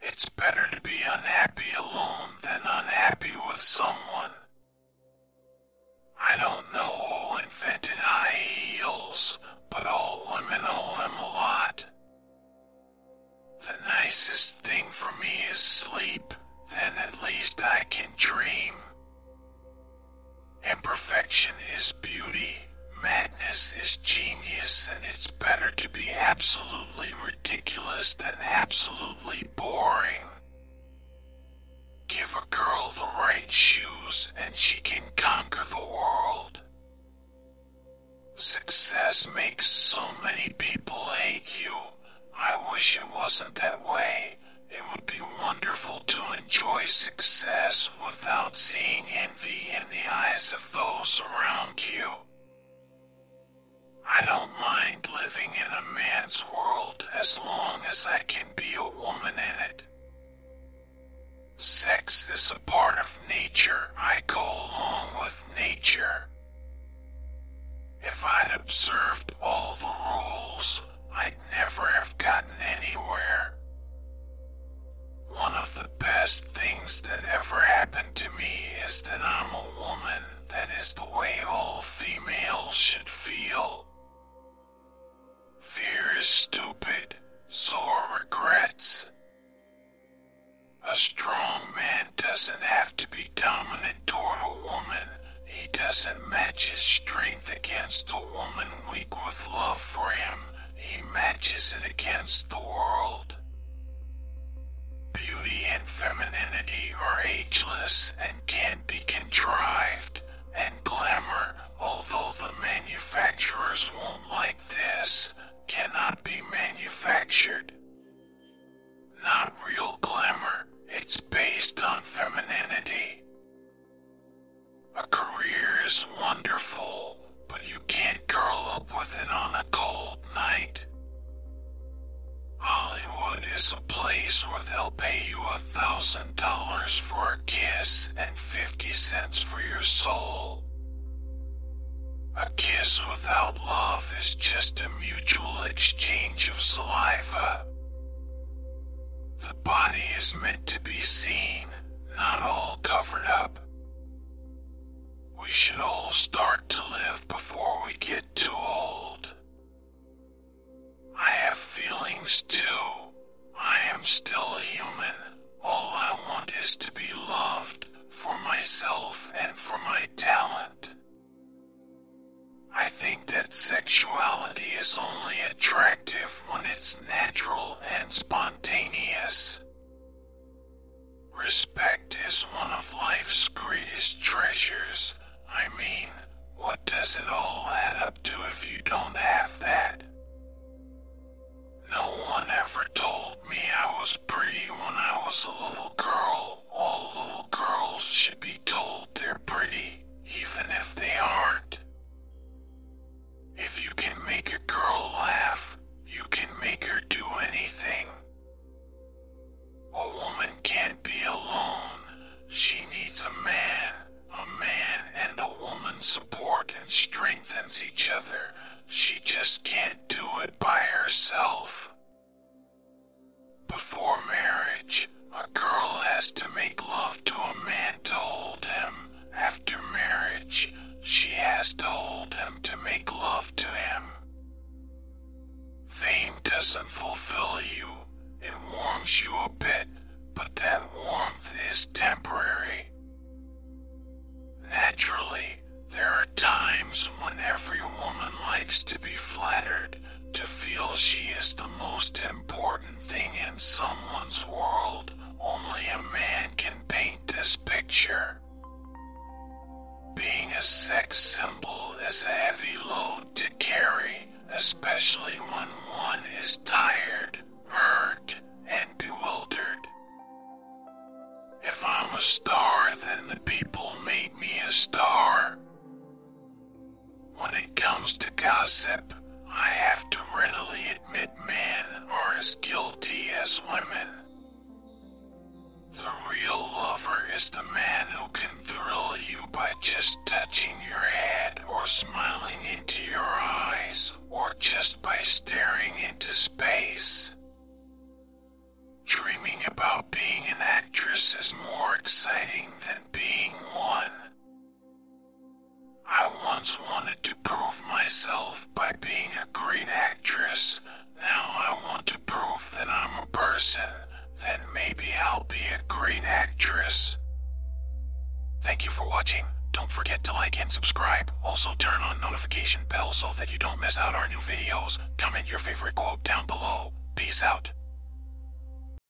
It's better to be unhappy alone than unhappy with someone. I don't know who invented high heels, but all women owe them a lot. The nicest thing for me is sleep, then at least I can dream. Imperfection is beauty, magic. This is genius, and it's better to be absolutely ridiculous than absolutely boring. Give a girl the right shoes, and she can conquer the world. Success makes so many people hate you. I wish it wasn't that way. It would be wonderful to enjoy success without seeing envy in the eyes of those around you. I don't mind living in a man's world as long as I can be a woman in it. Sex is a part of nature. I go along with nature. If I'd observed all the rules, I'd never have gotten anywhere. One of the best things that ever happened to me is that I'm a woman. That is the way all females should feel. Fear is stupid, so are regrets. A strong man doesn't have to be dominant toward a woman. He doesn't match his strength against a woman weak with love for him he matches it against the world. Beauty and femininity are ageless and can be contrived, and glamour, although the manufacturers won't like this, cannot be manufactured. Not real glamour, it's based on femininity. A career is wonderful, but you can't curl up with it on a cold night. Hollywood is a place where they'll pay you a thousand dollars for a kiss and fifty cents for your soul. A kiss without love is just a mutual exchange of saliva. The body is meant to be seen, not all covered up. We should all start to live before we get too old. I have feelings too. I am still a human. All I want is to be loved for myself and for my talent. I think that sexuality is only attractive when it's natural and spontaneous. Respect is one of life's greatest treasures. I mean, what does it all add up to if you don't have that? No one ever told me I was pretty when I was a little girl. All little girls should be told they're pretty, even if they aren't. If you can make a girl laugh, you can make her do anything. A woman can't be alone. She needs a man. A man and a woman support and strengthens each other. She just can't do it by herself. Before marriage, a girl has to make love to a man to hold him after marriage she has told him to make love to him. Fame doesn't fulfill you, it warms you a bit, but that warmth is temporary. Naturally, there are times when every woman likes to be flattered, to feel she is the most important thing in someone's world. Only a man can paint this picture. Being a sex symbol is a heavy load to carry, especially when one is tired, hurt, and bewildered. If I'm a star, then the people made me a star. When it comes to gossip, I have to readily admit men are as guilty as women. The real lover is the man who can thrill you by just touching your head or smiling into your eyes or just by staring into space. Dreaming about being an actress is more exciting than being one. I once wanted to prove myself by being a great actress. Now I want to prove that I'm a person. Then maybe I'll be a great actress. Thank you for watching. Don't forget to like and subscribe. Also turn on notification bell so that you don't miss out our new videos. Comment your favorite quote down below. Peace out.